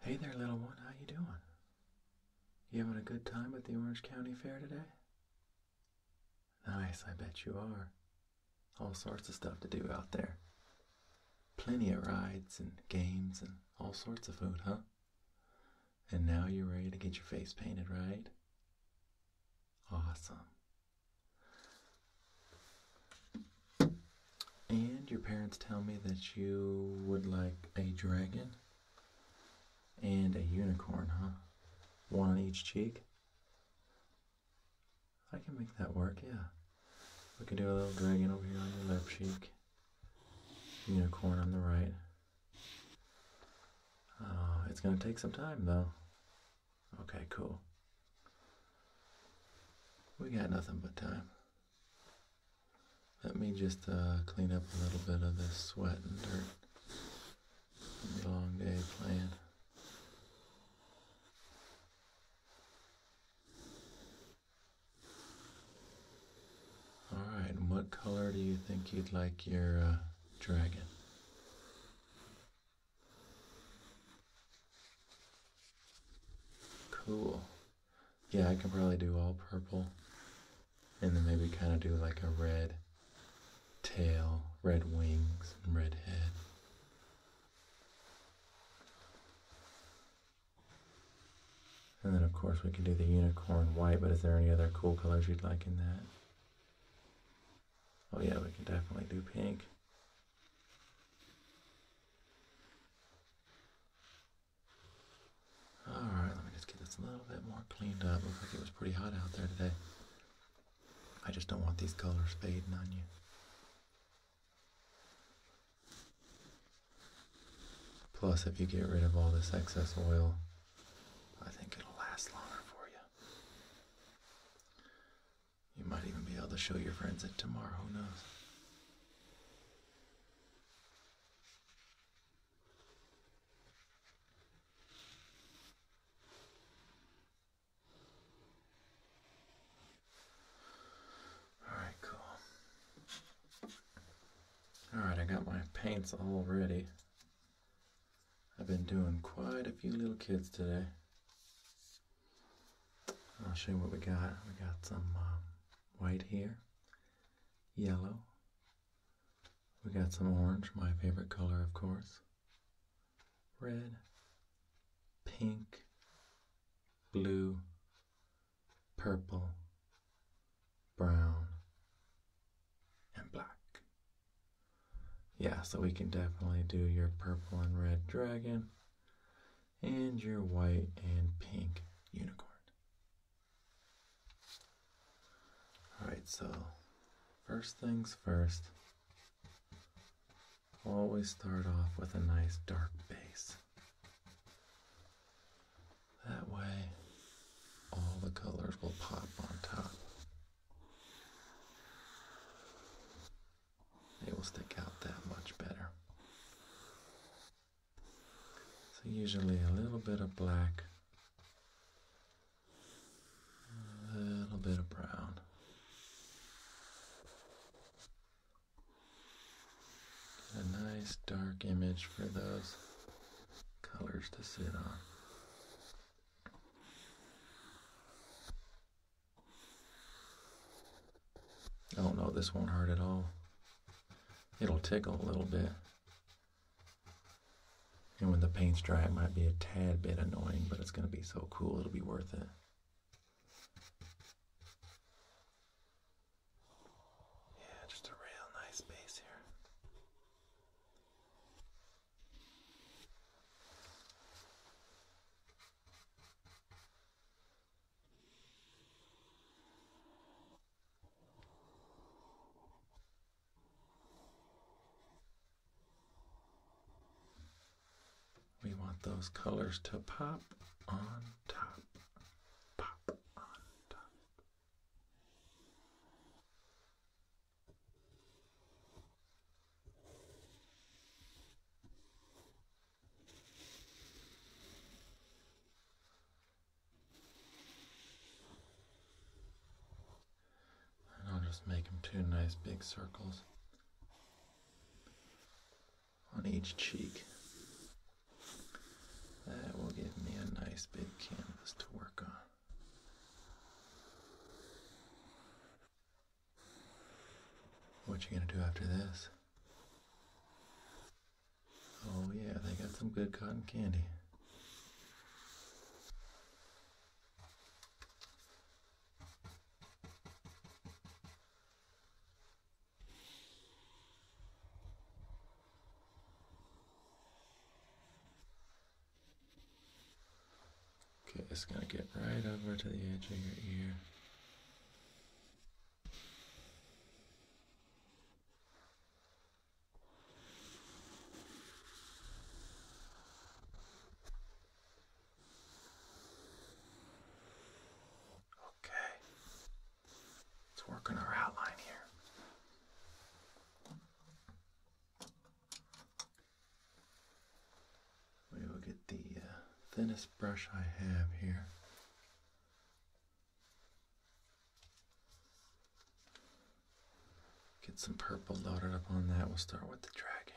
Hey there, little one. How you doing? You having a good time at the Orange County Fair today? Nice, I bet you are. All sorts of stuff to do out there. Plenty of rides and games and all sorts of food, huh? And now you're ready to get your face painted, right? Awesome. And your parents tell me that you would like a dragon and a unicorn, huh? One on each cheek? I can make that work, yeah. We can do a little dragon over here on your left cheek, unicorn on the right. Oh, it's gonna take some time though. Okay, cool. We got nothing but time. Let me just uh, clean up a little bit of this sweat and dirt. Long day playing. Alright, and what color do you think you'd like your uh, dragon? Cool. Yeah, I can probably do all purple. And then maybe kind of do like a red tail, red wings, and red head. And then of course we can do the unicorn white, but is there any other cool colors you'd like in that? Oh yeah, we can definitely do pink. Alright, let me just get this a little bit more cleaned up. Looks like it was pretty hot out there today. I just don't want these colors fading on you. Plus, if you get rid of all this excess oil, I think it'll last longer for you. You might even be able to show your friends it tomorrow, who knows? Alright, cool. Alright, I got my paints all ready. I've been doing quite a few little kids today. I'll show you what we got. We got some uh, white here, yellow. We got some orange, my favorite color, of course. Red, pink, blue, purple, brown, and black. Yeah, so we can definitely do your purple and red dragon and your white and pink unicorn. Alright, so first things first, always start off with a nice dark base. That way, all the colors will pop on top. They will stick out that much better. So, usually a little bit of black, a little bit of brown. a nice dark image for those colors to sit on. Oh no, this won't hurt at all. It'll tickle a little bit. And when the paint's dry, it might be a tad bit annoying, but it's going to be so cool, it'll be worth it. Yeah, just a real nice base here. We want those colors to pop on top. Pop on top. I'll just make them two nice big circles on each cheek. That will give me a nice big canvas to work on. What you gonna do after this? Oh yeah, they got some good cotton candy. Okay, it's going to get right over to the edge of your ear. Okay, let's our outline here. We will get the uh, thinnest brush I have here. Get some purple loaded up on that. We'll start with the dragon.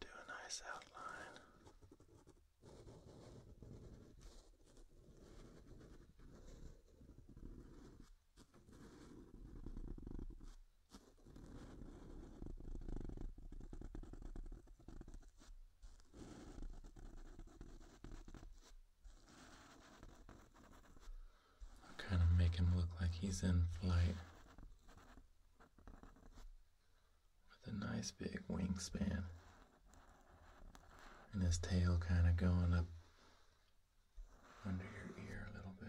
Do a nice outline. Kind of make him look like he's in flight with a nice big wingspan and his tail kind of going up under your ear a little bit.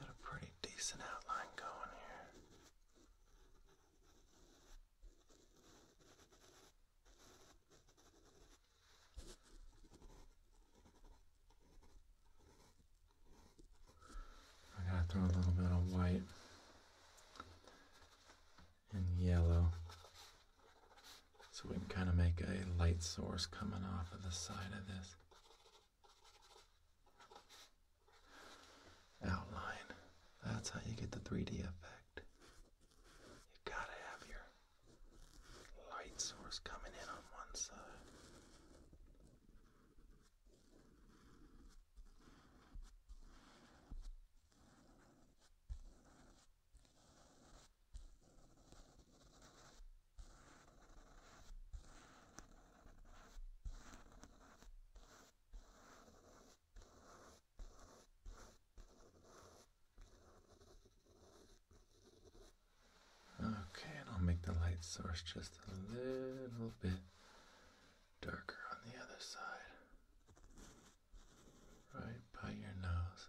Got a pretty decent outline going here. I gotta throw a little bit of white and yellow so we can kind of make a light source coming off of the side of this outline. That's how you get the 3D effect. You gotta have your light source coming in on one side. Okay, and I'll make the light source just a little bit darker on the other side, right by your nose.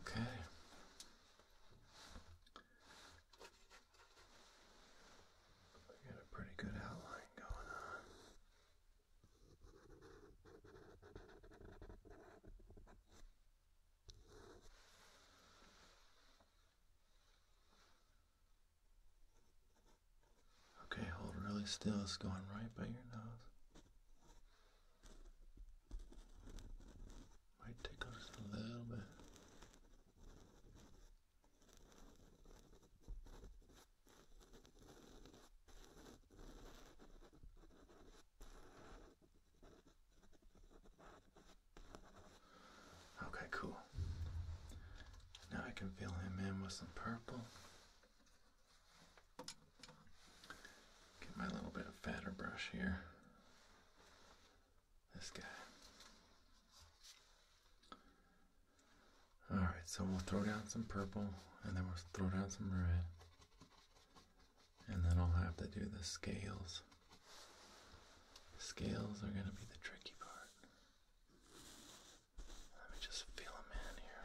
Okay. We got a pretty good outline going on. Okay, hold really still. It's going right by your nose. Might tickle just a little bit. Okay, cool. Now I can fill him in with some purple. Get my little bit of fatter brush here. This guy. Alright, so we'll throw down some purple and then we'll throw down some red. And then I'll have to do the scales. Scales are going to be the tricky part. Let me just feel them in here.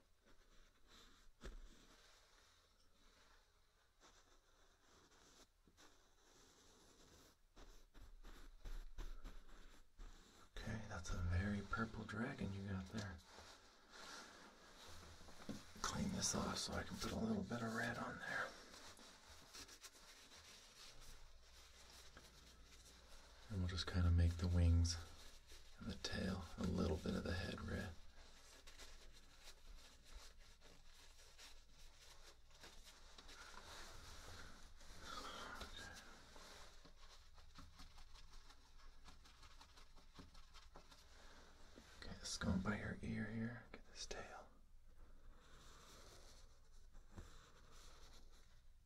Okay, that's a very purple dragon you got there. Clean this off so I can put a little bit of red on there. And we'll just kind of make the wings and the tail, a little bit of the head red. Okay, this is going by her ear here. Get this tail.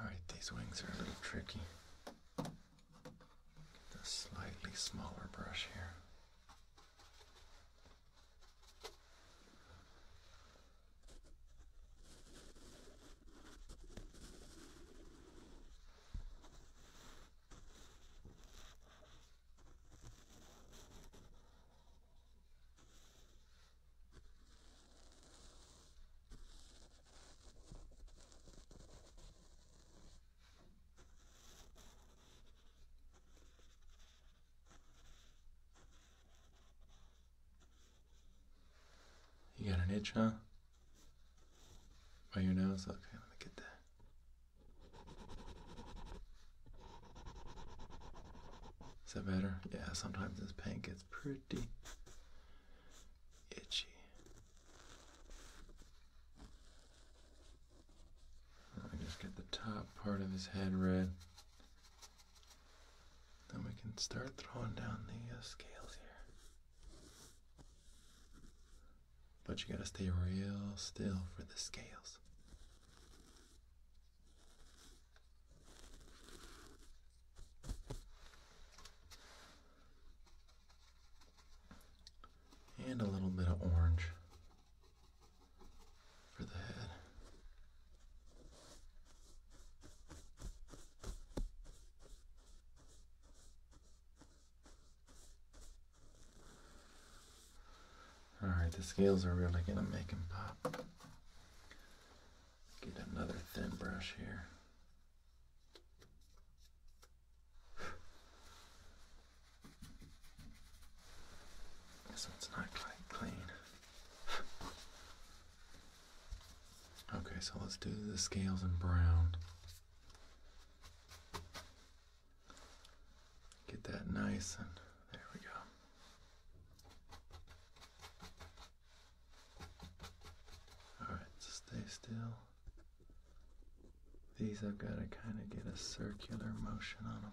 Alright, these wings are a little tricky. Get the slightly smaller brush here. You got an itch, huh? By your nose? Okay, let me get that. Is that better? Yeah, sometimes this paint gets pretty itchy. Let me just get the top part of his head red. Then we can start throwing down the uh, scales here. But you gotta stay real still for the scales. And a little bit of orange for the head. Alright, the scales are really going to make him pop. Get another thin brush here. So it's not quite clean. Okay, so let's do the scales in brown. Get that nice and there we go. Alright, stay still. These I've got to kind of get a circular motion on them.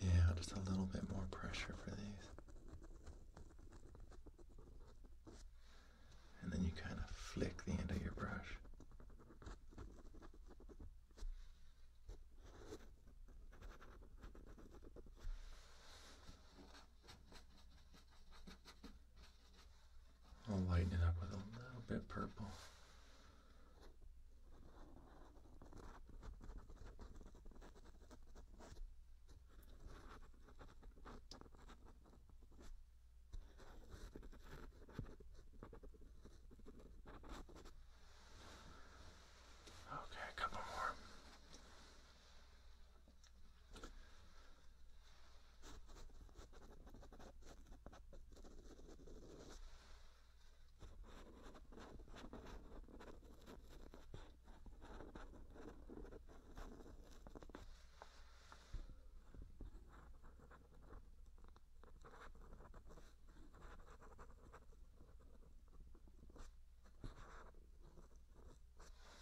Yeah, just a little bit more pressure for these. And then you kind of flick the end of your brush. I'll lighten it up with a little bit purple. Okay, a couple more.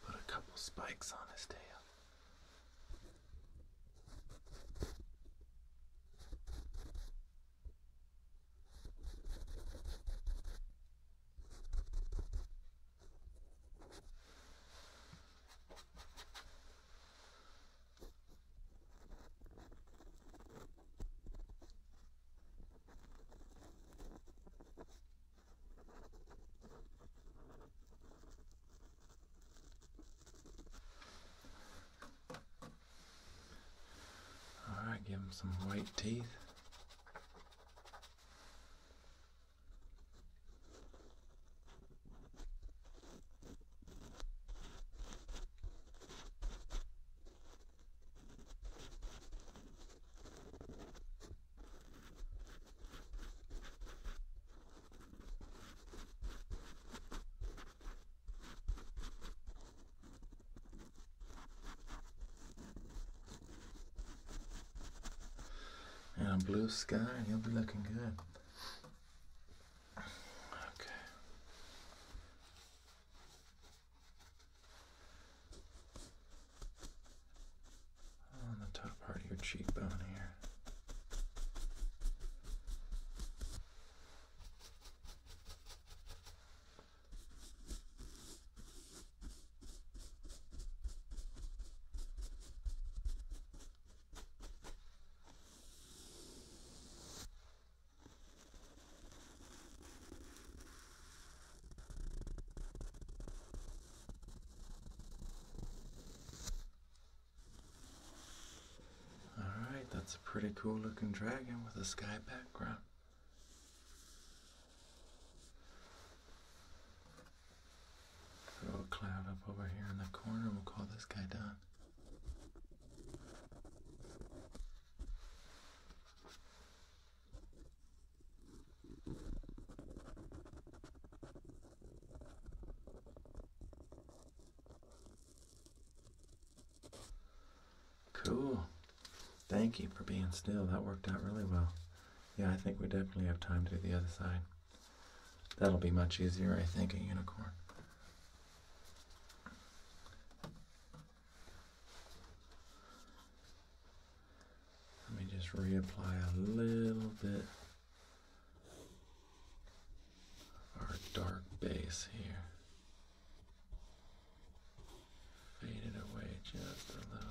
Put a couple spikes on his tail. All right, give him some white teeth. And a blue sky, and you'll be looking good. Okay. On the top part of your cheekbone here. Alright, that's a pretty cool looking dragon with a sky background. Throw a cloud up over here in the corner. We'll call this guy Don. Cool. Thank you for being still. That worked out really well. Yeah, I think we definitely have time to do the other side. That'll be much easier, I think, a unicorn. Let me just reapply a little bit our dark base here. faded away just a little bit.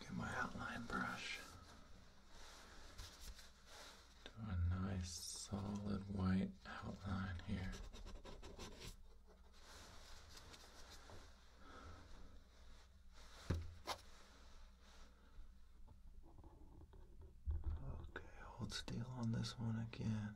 Get my outline brush. Do a nice solid white outline here. Okay, hold still on this one again.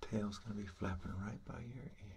Tail's going to be flapping right by your ear.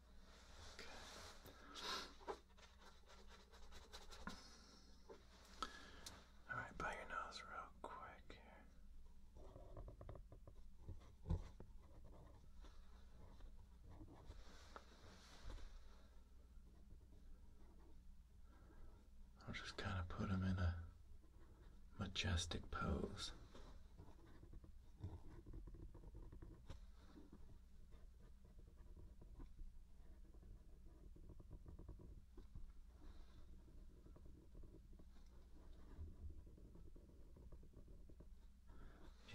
All right, by your nose real quick I'll just kind of put him in a majestic pose.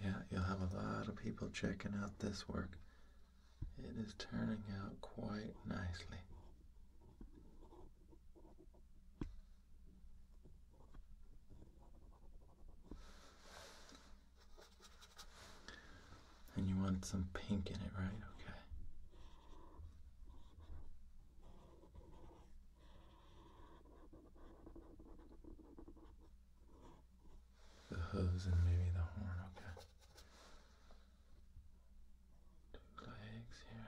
Yeah, you'll have a lot of people checking out this work. It is turning out quite nicely. And you want some pink in it, right? Okay. The hooves and maybe the horn, okay. Two legs here.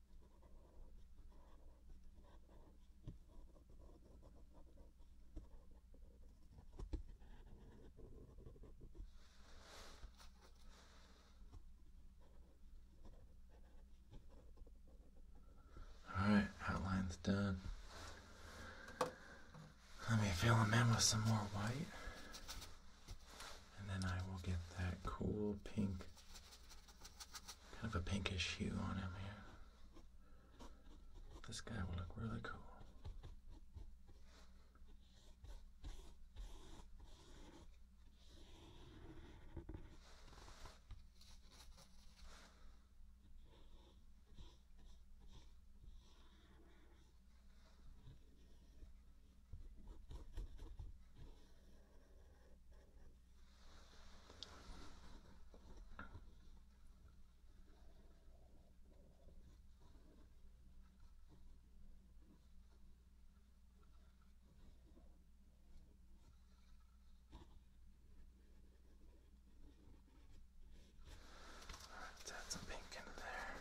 All right, outline's done. Let me fill them in with some more white, and then I will get that cool pink Kind of a pinkish hue on him here. This guy will look really cool. Let's add some pink in there.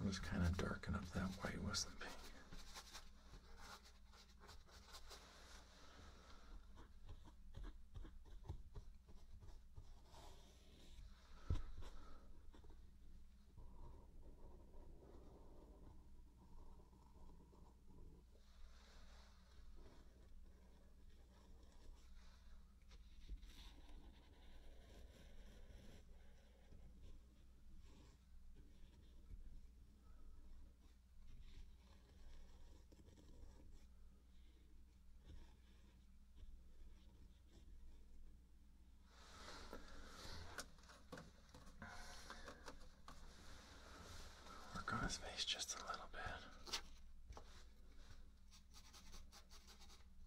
I'll just kind of darken up that white with the pink. Work on his face just a little bit.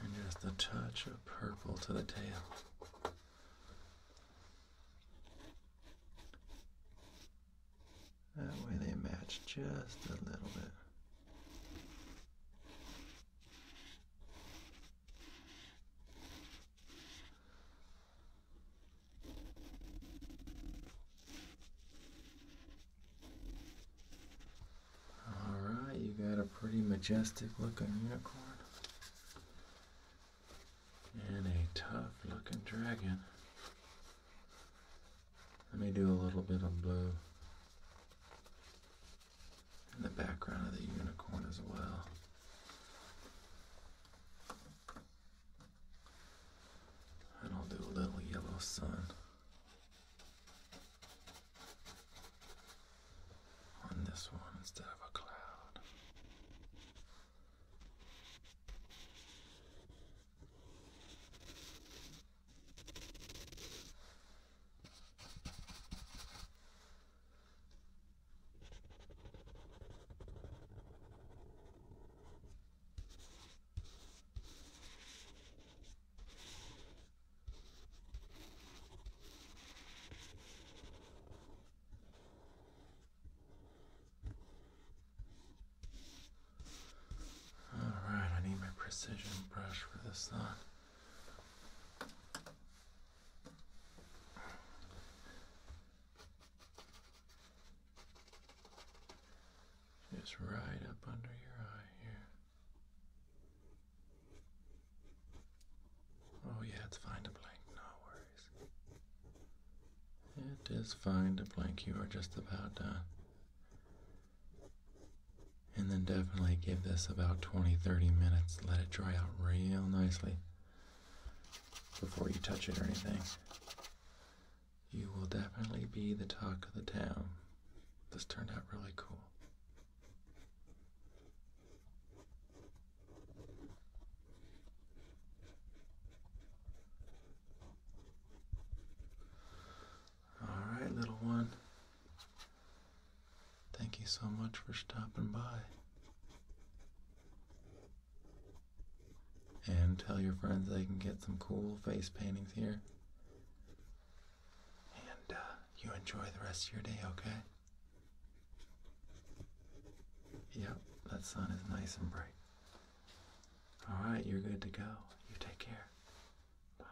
And just a touch of purple to the tail. That way they match just a little bit. Alright, you got a pretty majestic looking unicorn. And a tough looking dragon. Let me do a little bit of blue. In the background of the unicorn as well. And I'll do a little yellow sun on this one instead of a cloud. All right, I need my precision brush for this thought. Just right up under your eye here. Oh, yeah, it's fine to blink, no worries. It is fine to blink, you are just about done. And then definitely give this about 20 30 minutes, let it dry out real nicely before you touch it or anything. You will definitely be the talk of the town. This turned out really cool. All right, little one. Thank you so much for stopping by. And tell your friends they can get some cool face paintings here. And uh, you enjoy the rest of your day, okay? Yep, that sun is nice and bright. All right, you're good to go. You take care. Bye.